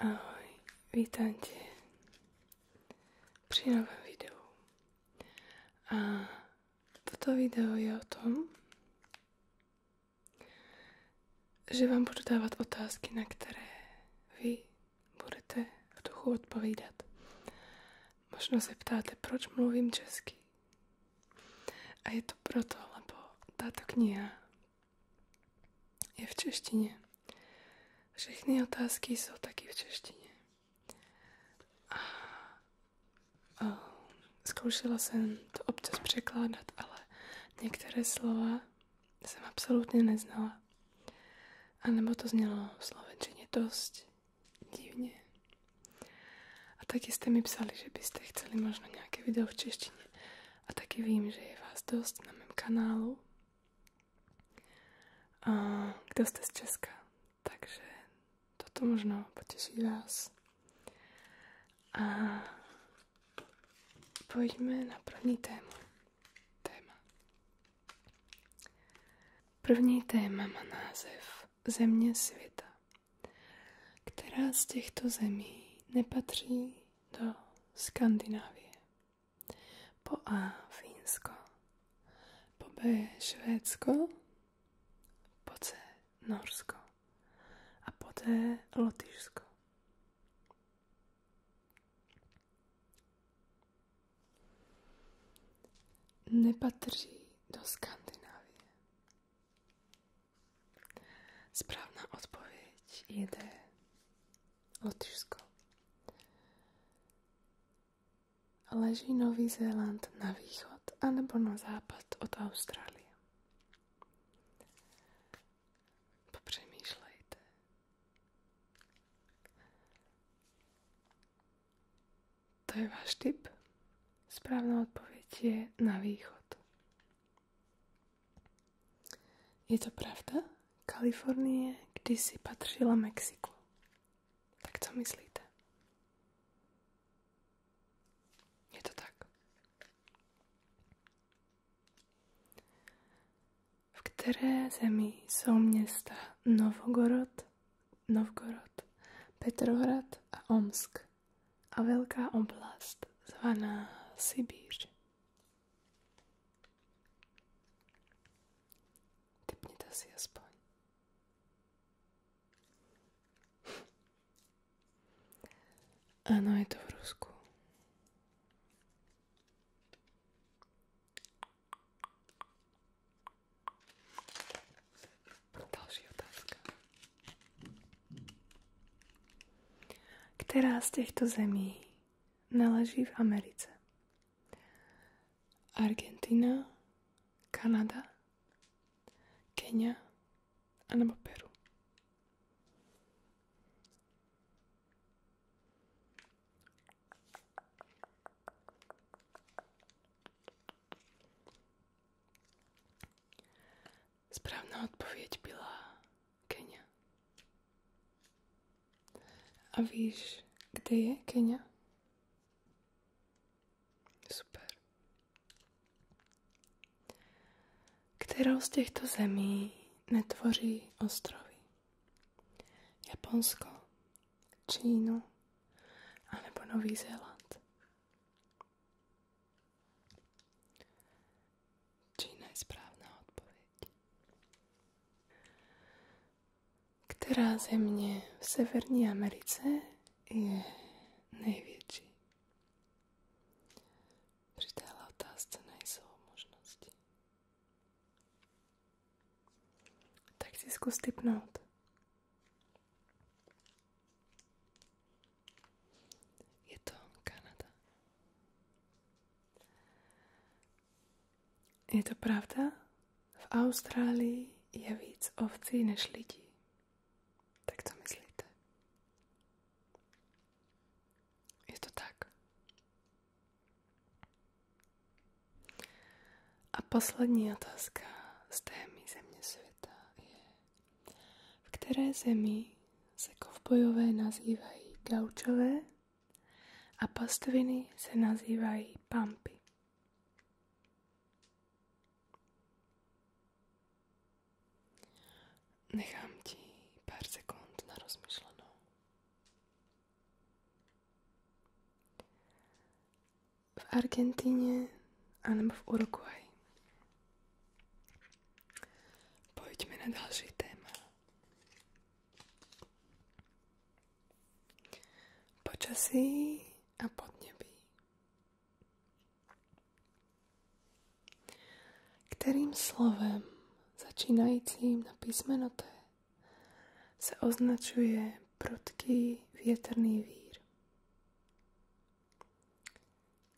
Ahoj, vítam tě pri novém videu. A toto video je o tom, že vám budu dávat otázky, na které vy budete v duchu odpovídat. Možno se ptáte, proč mluvím česky. A je to proto, lebo táto kniha je v češtině. Všechny otázky jsou taky v češtině. A, a oh, zkoušela jsem to občas překládat, ale některé slova jsem absolutně neznala. A nebo to znělo v slovenčině dost divně. A taky jste mi psali, že byste chceli možná nějaké video v češtině a taky vím, že je vás dost na mém kanálu. A kdo jste z Česka, takže toto možná potěší vás. A pojďme na první tému. téma. První téma má název Země světa. Která z těchto zemí nepatří do Skandinávie. Po A Fínsko, po B Švédsko, po C Norsko a po D Lotyšsko. Nepatří do Skandinávie. Správna odpoveď je D. Lotyšsko. Leží Nový Zéland na východ anebo na západ od Austrálie? To je váš tip? Správna odpověď je na východ. Je to pravda? Kalifornie kdy si patřila Mexiku. Tak co myslíte? Je to tak. V které zemi jsou města Novogorod, Novgorod, Petrohrad a Omsk a velká oblast zvaná Sibíř? Typnite si aspoň. Áno, je to v Rusku. Ďalšia otázka. Která z těchto zemí naleží v Americe? Argentina, Kanada, Kenia anebo Peru. Správna odpoveď byla Kenia. A víš, kde je Kenia? Super. Kterou z těchto zemí netvoří ostrovy? Japonsko, Čínu alebo Nový Zéland? Čína je správna odpoveď. Ktorá země v Severní Americe je největší? Pri téhle otázce nejsou možnosti. Tak si zkus typnout. Je to Kanada. Je to pravda? V Austrálii je víc ovcí než lidí. Tak to myslíte? Je to tak. A poslední otázka z témy Země světa je v které zemi se kovbojové nazývají gaučové a pastviny se nazývají pampy. Nechám ti pár sekund na rozmyšlenou. V Argentíne nebo v Uruguay. Pojďme na další téma. Počasí a podnebí. Kterým slovem začínajícím na písmeno T sa označuje prudký větrný vír.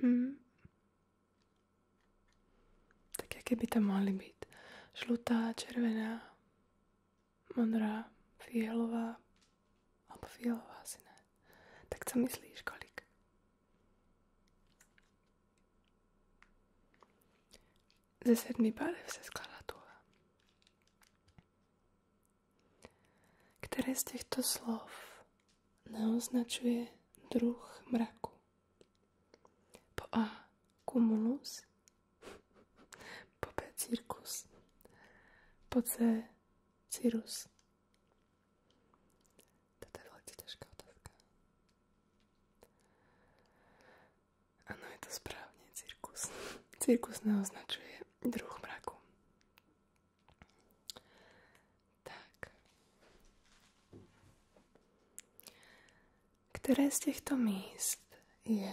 Hm. Tak aké by to mohli byť? Žlutá, červená, modrá, fialová, alebo fialová asi ne. Tak co myslíš, kolik? Ze sedmi barev se skladá tuha. Ktoré z týchto slov nám druh mraku? Po A. kumulus Po B. Cirkus Po C. Cirus Toto je veľmi ťažká otázka. Áno, je to správne, cirkus. Cirkus nám druh mraku. Tak. Ktoré z týchto míst je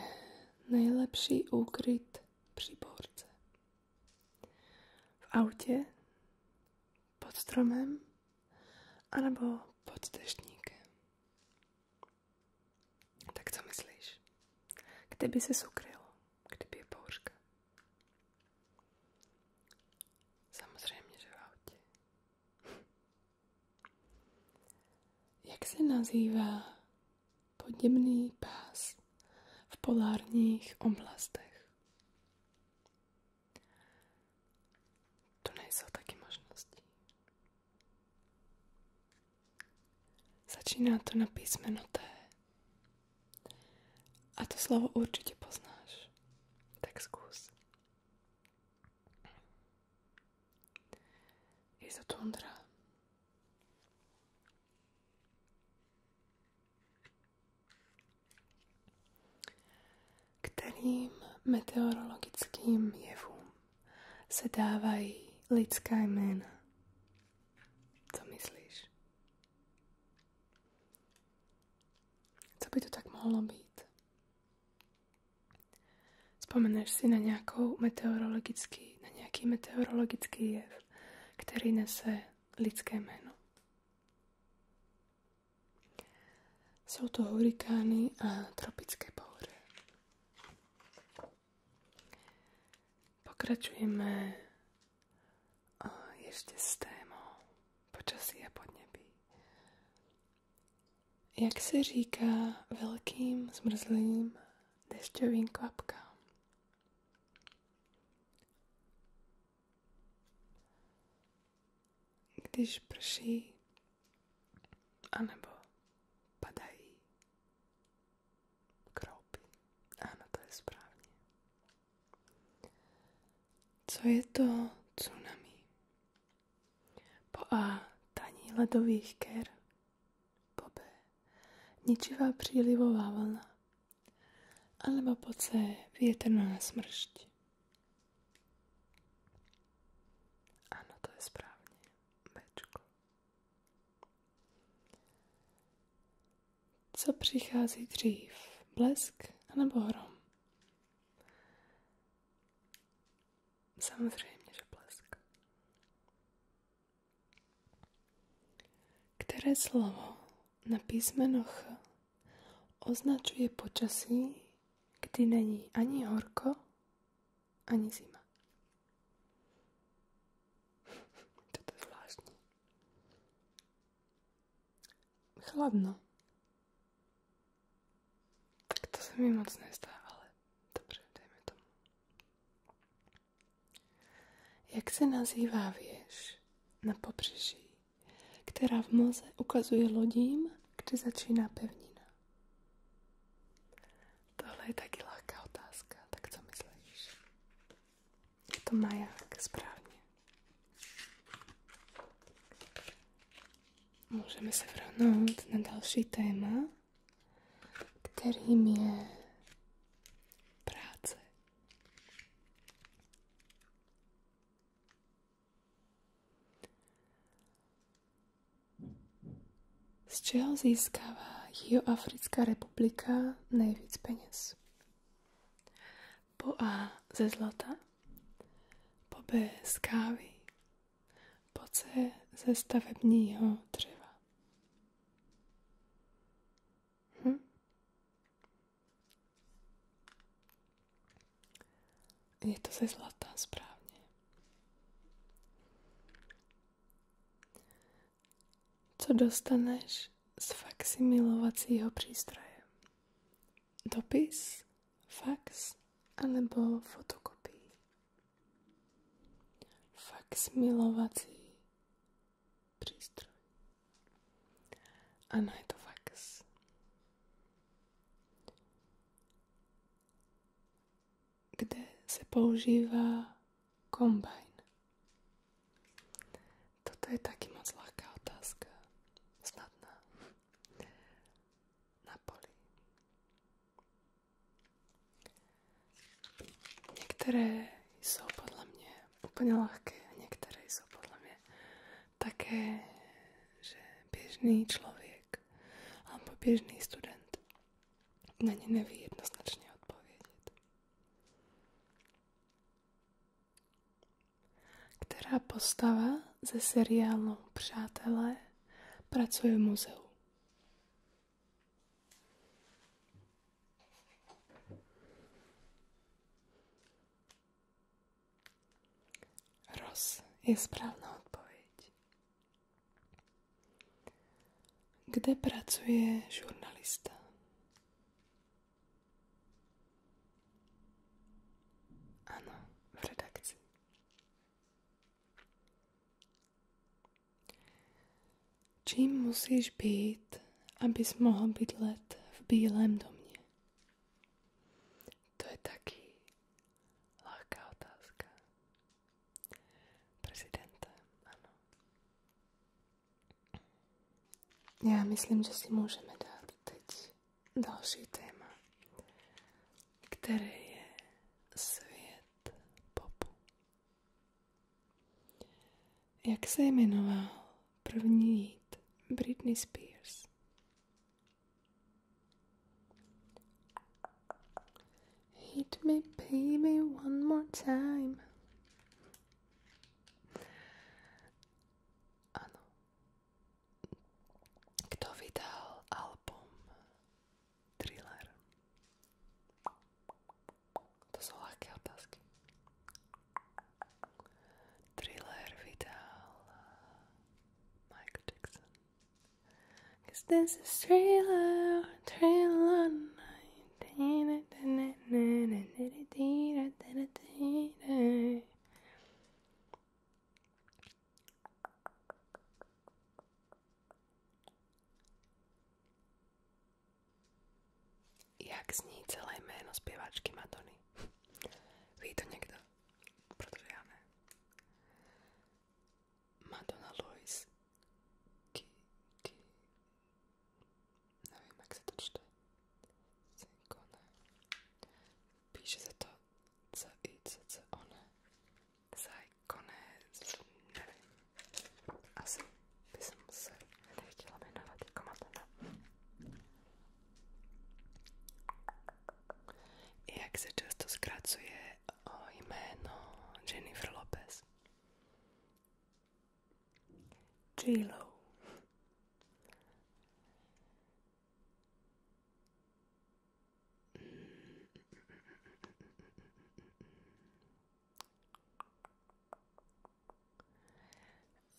najlepší úkryt pri borce? V aute, pod stromem alebo pod deštníkem? Tak co myslíš? Kde by se ukryl? Samozřejmě, Jak se nazývá podněmný pás v polárních oblastech? To nejsou taky možnosti. Začína to na písmeno T. A to slovo určite poznáš. Tak skús. Je to tundra. Kterým meteorologickým jevům se dávají lidská jména. Co myslíš? Co by to tak mohlo byť? Spomeneš si na, nejakou meteorologický, na nejaký meteorologický jev, ktorý nese lidské meno. Sú to hurikány a tropické pohre. Pokračujeme ešte s témou počasí a podnebí. Jak se říká velkým zmrzlým dešťovým kvapkám? Když prší anebo padají Kropy. Áno, to je správne. Co je to tsunami? Po A. Taní ledových ker. Po B. Ničivá prílivová vlna. Alebo po C. Vietrná smršť. Áno, to je správne. Bčko. Co přichází dřív? Blesk anebo hrom? Samozřejmě, že blesk. Které slovo na písmeno Ch označuje počasí, kdy není ani horko, ani zima? Toto je Chladno. Tak to sa mi moc nezdá, ale dobre, dajme tomu. Jak sa nazývá vieš na pobřeží, ktorá v moze ukazuje lodím, kde začíná pevnina? Tohle je taky lehká otázka. Tak co myslíš? Je to maják, správně. Můžeme se vrhnúť na další téma, ktorým je práce. Z čeho získava Jihoafrická republika nejvíc peněz? Po A ze zlata, po B z kávy, po C ze stavebního dřeva. Hm? Je to ze zlata, správně co dostaneš z faxy milovacího přístroje. Dopis, fax alebo fotokopii. Fax milovací přístroj. Ano, je to fax kde se používá kombajn? Toto je taky moc lehká otázka. Snadná. Na poli. Niektoré sú podľa mňa úplne ľahké a některé jsou podle mě také, že bežný človek alebo bežný student na ně neví jednoznačně odpovědět. Která postava ze seriálu Přátelé pracuje v muzeu? Ross je správná odpověď. Kde pracuje žurnalista? Ano, v redakci. Čím musíš být, abys mohl mohol let v Bílém domě? To je taký ľahká otázka. Prezidentem, áno. myslím, že si můžeme dát teď další téma, ktoré je svět popu. Jak se jmenoval první hit Britney Spears? Hit me, baby, one more time. ano. Ah, Kto vydal album Thriller? To sú ľahké Thriller vydal Michael Jackson. Cause this is trailer, trailer night. Jak zní celé jméno zpěvačky to já Madonna Lois Ki, ki neviem, to čte Cinkone píše sa to c i Zajkone neviem asi by som sa nechcela menovať jak sa často skracuje o jméno Jennifer Lopez J-Lo.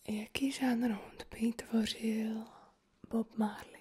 E é aqui já rond Peter Gabriel, Bob Marley.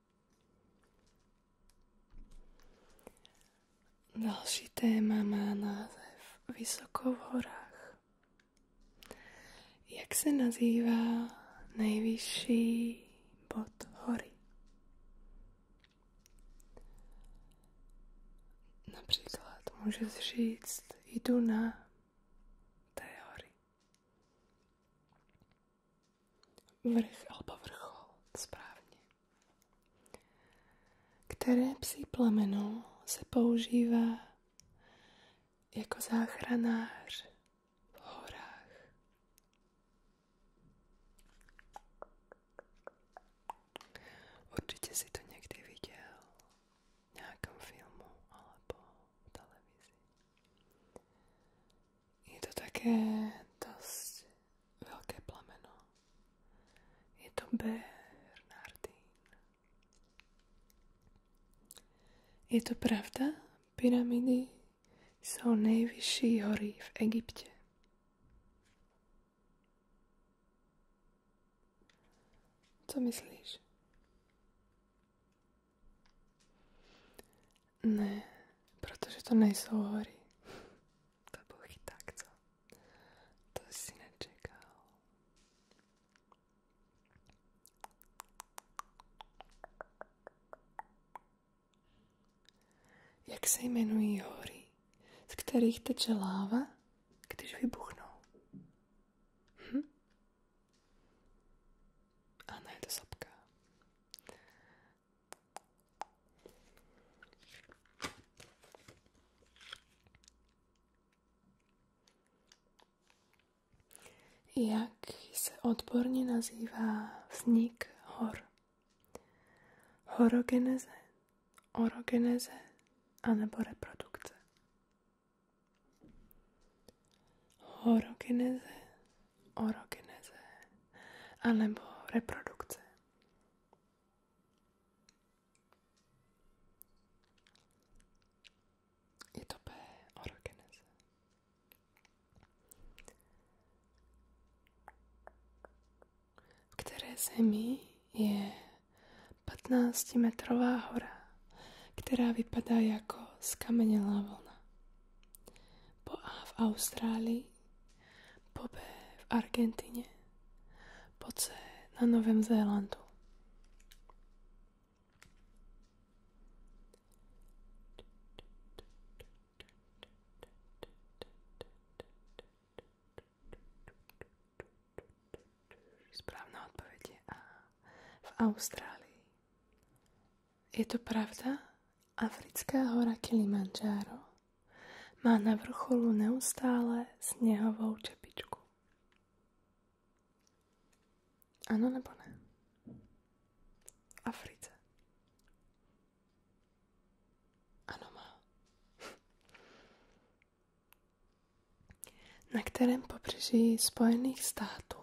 Další téma má název Vysoko v horách. Jak se nazývá nejvyšší bod hory? Například můžeš říct, jdu na té hory. Vrch alebo vrchol, správně ktoré psí plamenou se používá jako záchranář v horách. Určite si to niekdy videl v nejakom filmu alebo v televízii. Je to také dosť veľké plameno. Je to Bernardín. Je to pravda? Pyramidy sú nejvyšší hory v Egypte. Co myslíš? Ne, protože to nejsou hory. To byl tak, co? To si nečekal. Jak se jmenují hory, z kterých teče láva, když vybuchnou? Hm? Ano, je to sapka jak se odborně nazývá vznik hor. Horogeneze, orogeneze alebo reprodukce. Horogeneze orogeneze anebo reprodukce. Je to V které zemi je 15-metrová hora, která vypadá jako skamenělá vlna. Po A v Austrálii po B v Argentíne, po C na Novém Zélandu. Správna odpoveď je Austrálii. Je to pravda? Africká hora Kilimanjaro má na vrcholu neustále sněhovou čepičku. Ano nebo ne? Africe. Áno má. Na kterém pobřeží Spojených států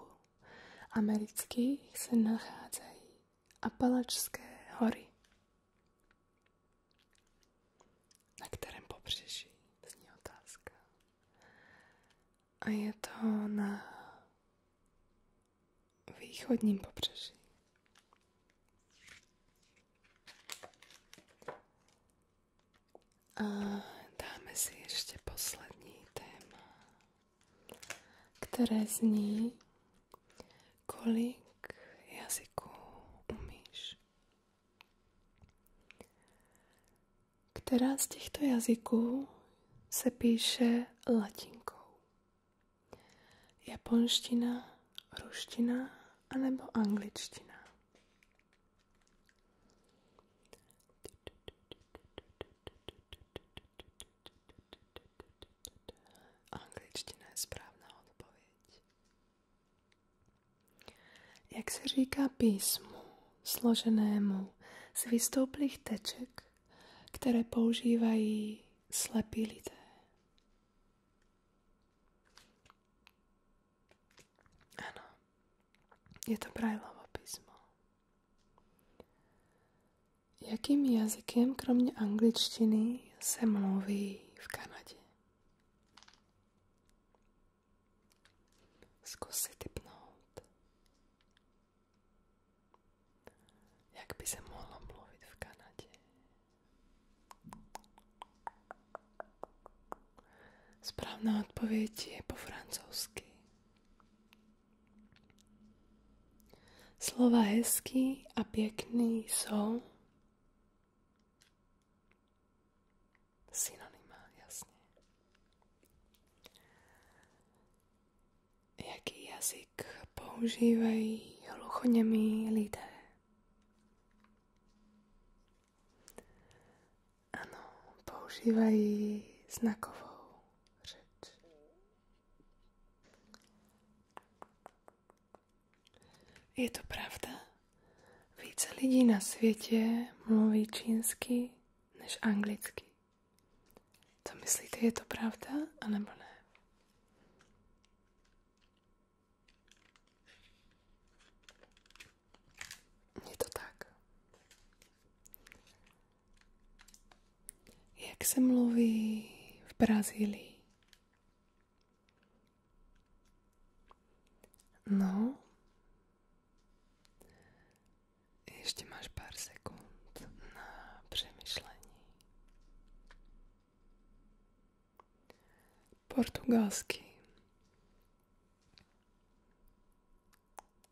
amerických se nacházejí a Apalačské hory, na kterém pobřeží, zní otázka. A je to na východním pobřeží. A dáme si ještě poslední téma. Které zní kolik jazykov umíš. Která z těchto jazyků se píše latinkou? Japonština, ruština anebo angličtina? Angličtina je správna odpověď. Jak se říká písmu složenému z vystouplých teček, které používají slepí lidé? Ano, je to Brajlovo písmo. Jakým jazykem kromě angličtiny se mluví v Kanadě? Zkus si typnout. Jak by se mohlo mluvit v Kanadě? Správná odpověď je po francouzsky. Slova hezký a pěkný jsou synonymá, jasně. Jaký jazyk používají hluchonemí lidé? Ano, používají znakovou řeč. Je to pravda? Více lidí na světě mluví čínsky než anglicky. To myslíte, je to pravda, anebo ne? Je to tak. Jak se mluví v Brazílii? No. ještě máš pár sekund na přemýšlení. Portugalsky.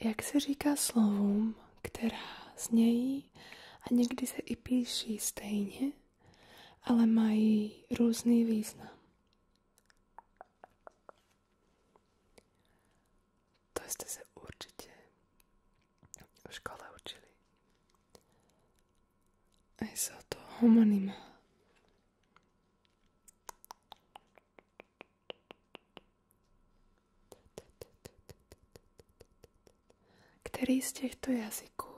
Jak se říká slovům, která znějí a někdy se i píší stejně, ale mají různý význam. To jste se určitě v škole učili. A jsou to homonyma. Který z těchto týchto jazykov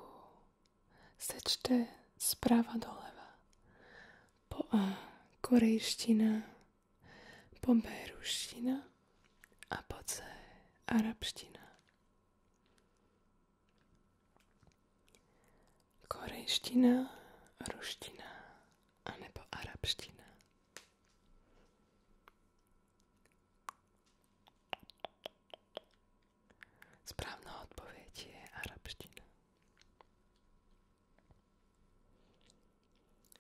sečte sprava doleva? Po A korejština, po B ruština a po C arabština korejština, ruština anebo arabština. Správna je arabština.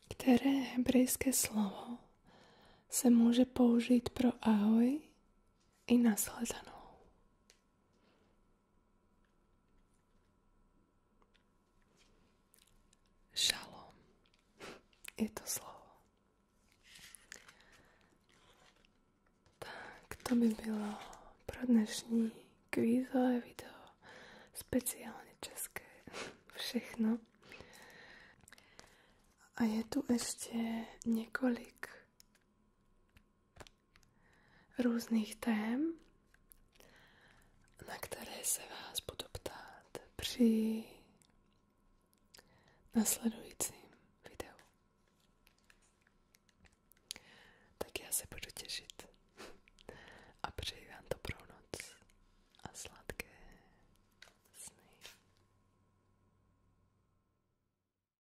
Které hebrejské slovo se může použít pro ahoj i nasledanou? Šalom je to slovo. Tak, to by bylo pro dnešní kvízové video. Speciálne české. Všechno. A je tu ještě několik různých tém, na které se vás budu ptát při nasledujícím videu. Tak já se budu těšit a přeji vám dobrou noc a sladké sny.